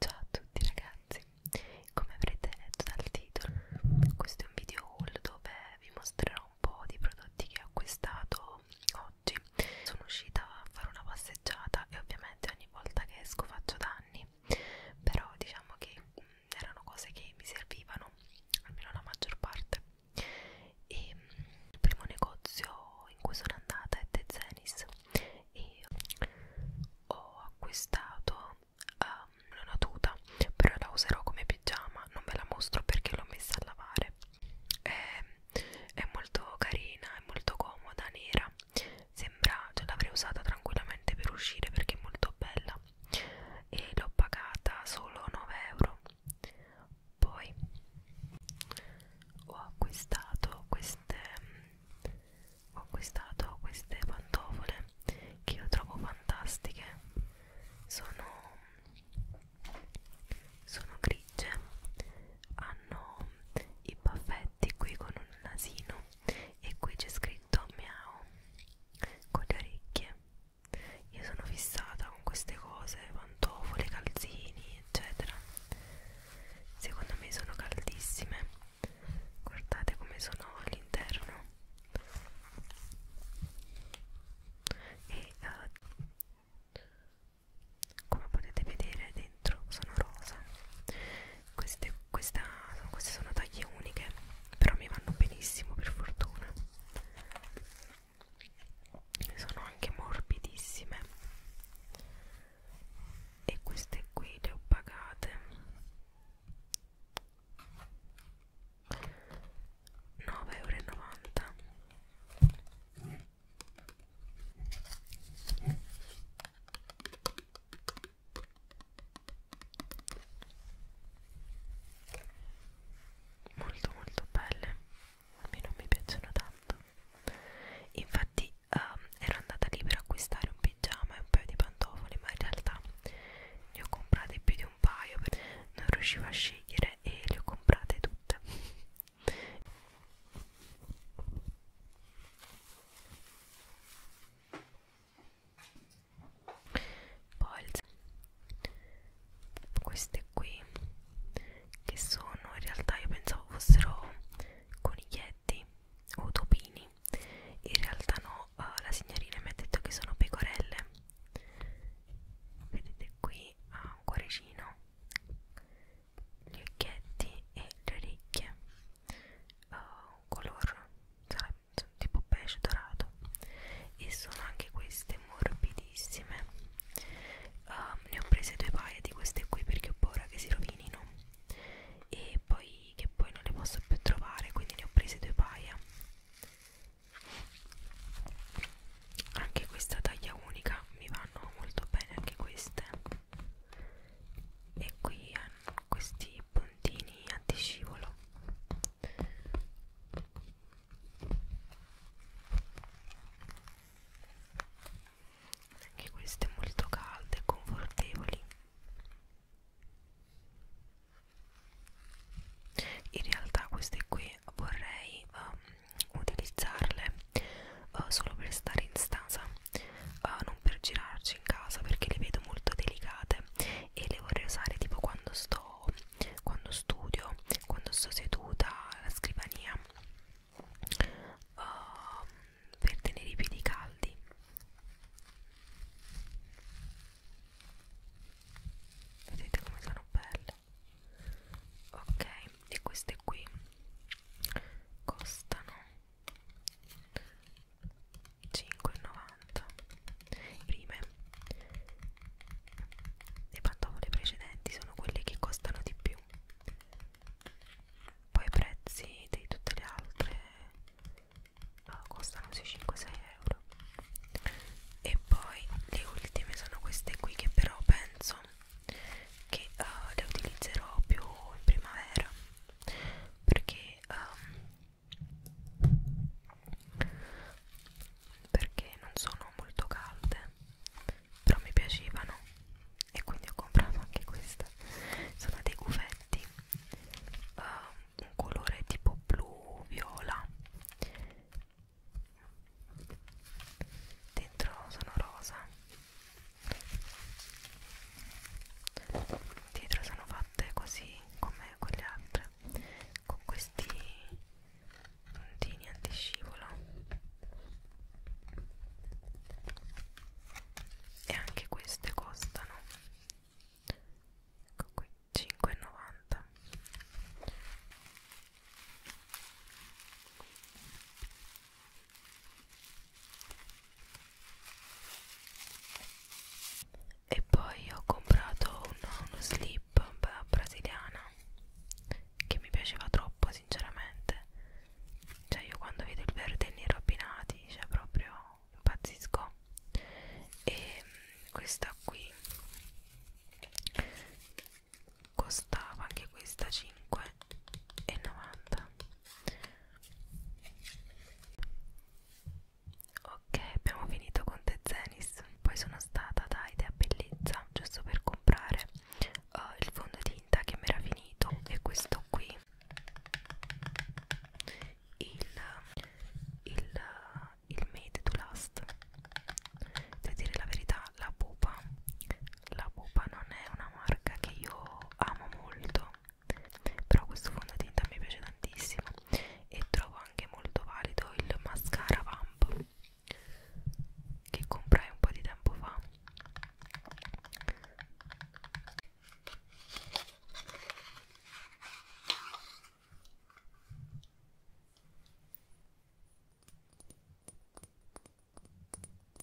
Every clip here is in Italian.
Ciao a tutti ragazzi, come avrete letto dal titolo, questo è un video haul dove vi mostrerò un po' di prodotti che ho acquistato oggi. Sono uscita a fare una passeggiata e ovviamente ogni volta che esco faccio danni, però diciamo che mh, mm, erano cose che mi servivano, almeno la maggior parte e mm, il primo negozio in cui sono andata è The Zenis e ho acquistato um, ehm, una tuta però la userò come pigiama non ve la mostro perché l'ho messa a lavare è, è molto carina è molto comoda nera sembra cioè l'avrei usata tranquillamente per uscire perché è molto bella e l'ho pagata solo 9 euro poi ho acquistato queste ho acquistato queste pantofole che io trovo fantastiche sono sono grigie hanno i baffetti qui con un nasino e qui c'è scritto miau con le orecchie io sono fissata con queste cose, pantofole, calzini, eccetera. Secondo me sono caldissime. Guardate come sono all'interno. E uh, come potete vedere dentro sono rosa. Queste, questa, queste sono taglie uniche, però mi vanno benissimo per fortuna sono anche morbidissime e queste qui le ho pagate 9,90 euro molto molto belle a me non mi piacciono tanto infatti um, ero andata lì per acquistare un pigiama e un paio di pantofole ma in realtà ne ho comprate più di un paio perché non riuscivo a scegliere e le ho comprate tutte poi queste qui che sono in realtà io pensavo fossero coniglietti o topini in realtà no uh, la signorina mi ha detto che sono pecorelle vedete qui ha ah, un cuoricino gli occhietti e le orecchie uh, un color sarà sono esatto, tipo pesce dorato e sono anche queste morbidissime um, ne ho prese due paia di queste qui perché ho paura che si rovinino e poi che poi non le posso più trovare quindi ne ho prese due paia anche questa taglia unica mi vanno molto bene anche queste e qui hanno questi puntini panni antiscivolo anche queste molto calde e confortevoli in realtà queste qui vorrei um, utilizzarle uh, solo per stare in stanza uh, non per girarci in casa perché le vedo molto delicate e le vorrei usare tipo quando sto quando studio quando sto seduta alla scrivania uh, per tenere i piedi caldi vedete come sono belle ok e queste qui costano 5,90 rime le pantofole precedenti sono quelle che costano di più poi i prezzi di tutte le altre costano sui 5-6 euro e poi le ultime sono queste qui che però penso che uh, le utilizzerò più in primavera perché um, perché non sono molto calde però mi piacevano e quindi ho comprato anche questa sono dei cuffetti uh, eh, un colore tipo blu viola dentro sono rosa dietro sono fatte così come quelle altre con questi puntini antiscivolo e anche queste costano ecco qui 5,90 e e poi ho comprato uno, uno slip brasiliana che mi piaceva troppo sinceramente cioè io quando vedo il verde e il nero abbinati cioè proprio impazzisco e mm, questa qui costava anche questa 5,90 Ok, abbiamo finito con The Zenis. Poi sono stata da Idea Bellezza giusto per comprare uh, il fondotinta che mi era finito. E questo qui, il, il, il Made to Last. Devo dire la verità, la pupa. La pupa non è una marca che io amo molto però questo fondotinta mi piace tantissimo e trovo anche molto valido il mascara Vamp che comprai un po' di tempo fa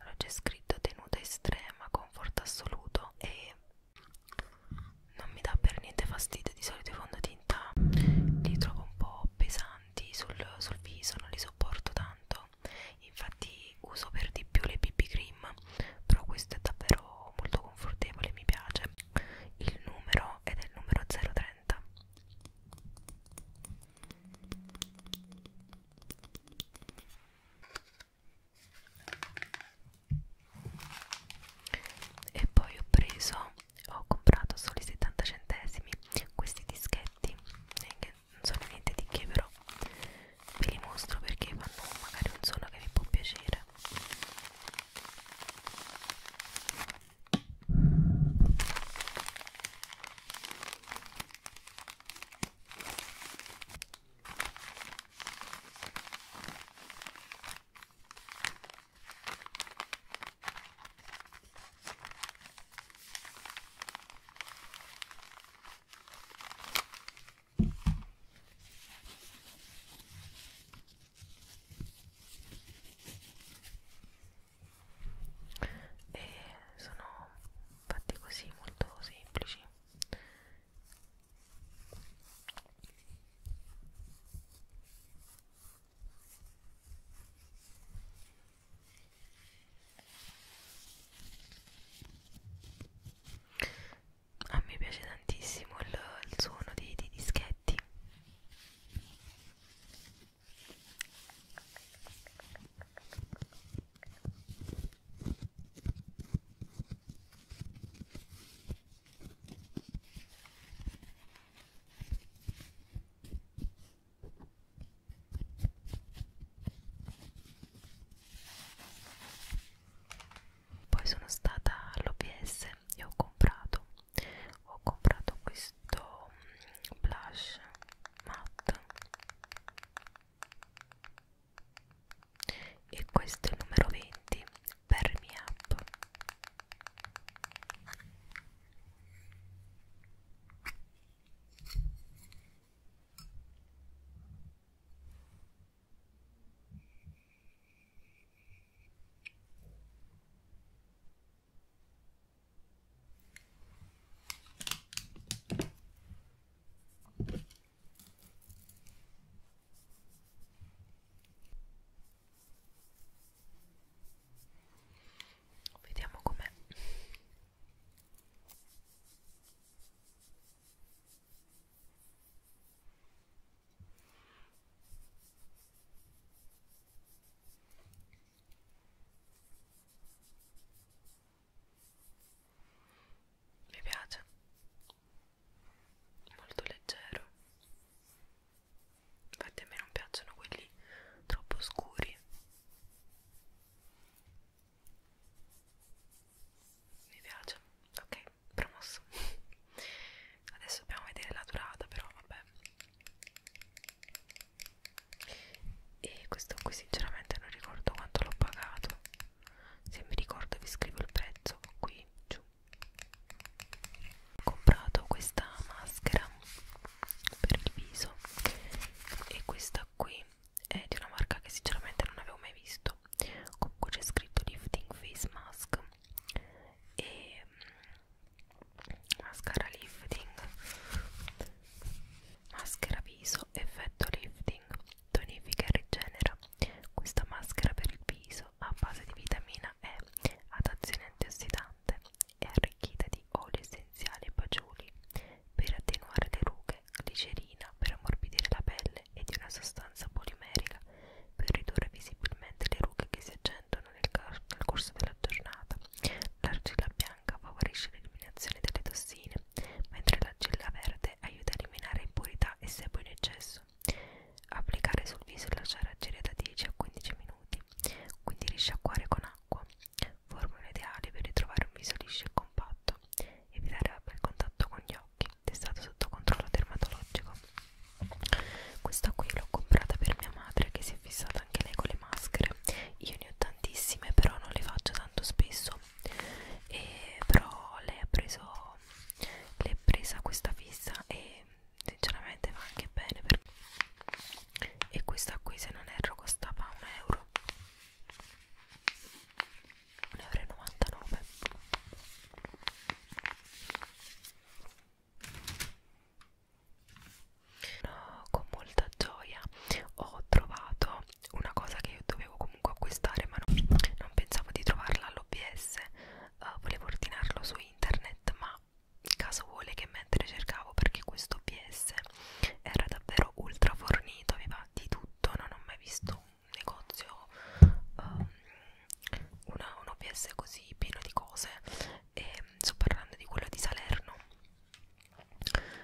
Allora c'è scritto tenuta estrema, conforto assoluto e non mi dà per niente fastidio. Di solito i fondotinta li trovo un po' pesanti sul, sul viso, non li sopporto tanto. Infatti uso per di più le BB cream, però questo è davvero molto confortevole mi piace il numero ed è il numero 030 e poi ho preso ho comprato solo i 70 centesimi questi dischetti eh, che non sono niente di che però ve li mostro perché fanno magari un suono che vi può piacere e sono fatti così molto semplici a me piace tantissimo il, il suono dei, dei dischetti poi sono stata all'OBS e ho comprato ho comprato questo mm, blush matte e questo è il numero 20 per mi up Vediamo com'è. Mi piace, molto leggero. Infatti a me non piacciono quelli troppo scuri mi piace ok promosso adesso dobbiamo vedere la durata però vabbè e questo qui sinceramente non ricordo quanto l'ho pagato se mi ricordo vi scrivo il prezzo qui giù ho comprato questa maschera per il viso e questa qui è di una marca che sinceramente non avevo mai visto comunque c'è scritto lifting face mask e mm, mascara lifting maschera viso effetto lifting tonifica e rigenera questa maschera per il viso a base di vitamina E ad azione antiossidante è arricchita di oli essenziali e baciuli per attenuare le rughe glicerina per ammorbidire la pelle e di una sostanza polimerica per ridurre visibilmente le rughe che si accendono nel, nel corso della giornata. L'argilla bianca favorisce l'eliminazione delle tossine, mentre l'argilla verde aiuta a eliminare impurità e sebo in eccesso. Applicare sul viso e lasciare agire da 10 a 15 minuti, quindi risciacquare con acqua acqua, formula ideale per ritrovare un viso liscio e compatto, evitare il contatto con gli occhi, testato sotto controllo dermatologico. Questa qui l'ho comprata per mia madre che si è fissata anche lei con le maschere, io ne ho tantissime però non le faccio tanto spesso, e però lei ha preso, l'è presa questa fissa e sinceramente va anche bene per... e questa qui se non erro costava un euro ne avrei 99 no, con molta gioia ho trovato una cosa che io dovevo comunque acquistare ma non, non pensavo di trovarla all'OBS uh, eh, volevo ordinarlo su internet ma caso vuole che mentre cercavo perché questo OBS era davvero ultra fornito aveva di tutto non ho mai visto un negozio um, una, un OPS così pieno di cose e sto parlando di quello di Salerno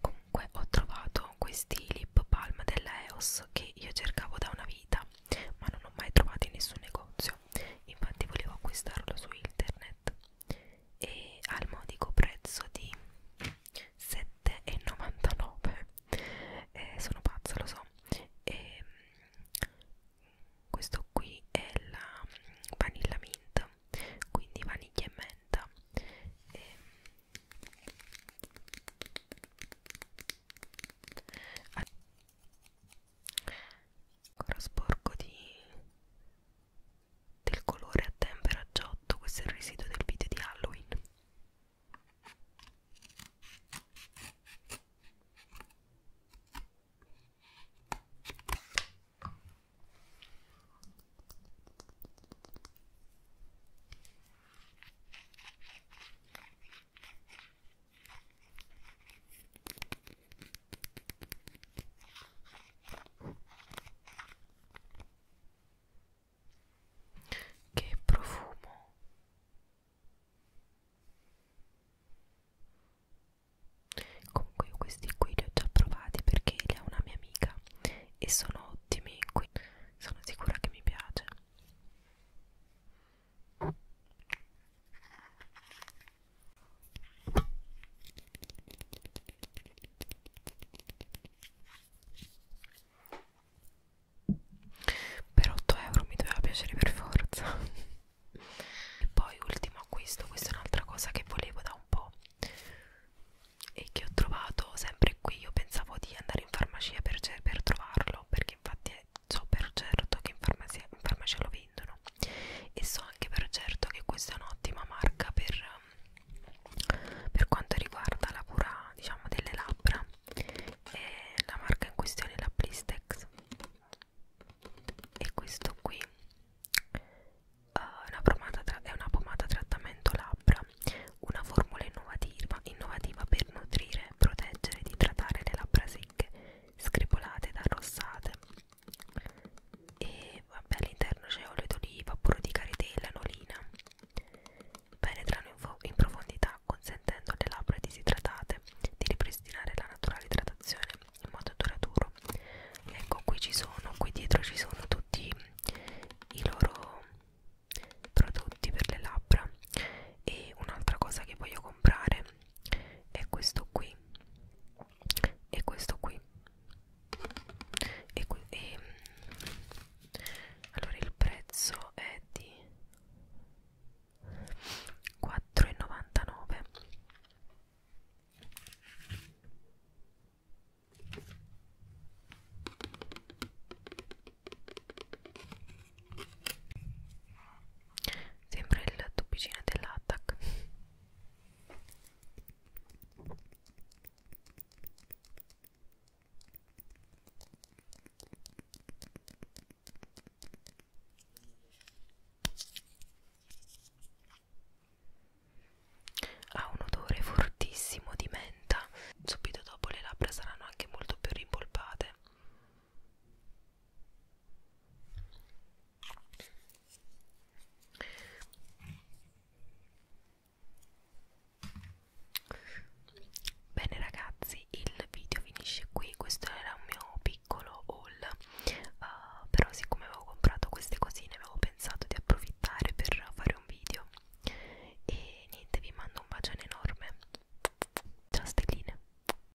comunque ho trovato questi lip palm della EOS che io cercavo da una vita ma non ho mai trovato in nessun negozio infatti volevo acquistarlo su internet e al modico prezzo di 7,99 eh, sono pazza lo so e, ehm, questo qui è la mm, vanilla mint quindi vaniglia e menta e, ehm, ancora sporco di del colore a tempera giotto, questo è il residuo del video di Halloween. Che profumo. Comunque io questi qui li ho già provati perché li ha una mia amica e sono ottimi, quindi sono sicura che mi piace per 8 euro mi doveva piacere per forza e poi ultimo acquisto questa è un'altra cosa che volevo da un po' e che ho trovato sempre qui io pensavo di andare in farmacia per, per trovarlo perché infatti so per certo che in farmacia, in farmacia lo vedi vendono e so anche per certo che questa è un'ottima marca per, um, per quanto riguarda la cura diciamo delle labbra e la marca in questione è la Blistex e questo qui uh, una è una pomata trattamento labbra una formula innovativa, innovativa per nutrire, proteggere ed idratare le labbra secche, screpolate ed arrossate e vabbè all'interno c'è olio d'oliva, burro di caritela, nolina penetrano in, in profondità consentendo alle labbra disidratate di ripristinare la naturale idratazione in modo duraturo ecco qui ci sono, qui dietro ci sono tutti i loro prodotti per le labbra e un'altra cosa che voglio comprare è questo qui e questo qui e, qui, e mm, allora il prezzo è di 4,99 Sembra il tubicino dell'attack. Ha un odore fortissimo di menta. Subito dopo le labbra saranno anche molto più rimpolpate. Bene ragazzi, il video finisce qui, questo era un mio piccolo haul, uh, però siccome avevo comprato queste cosine avevo pensato di approfittare per fare un video e niente, vi mando un bacione enorme, ciao stelline!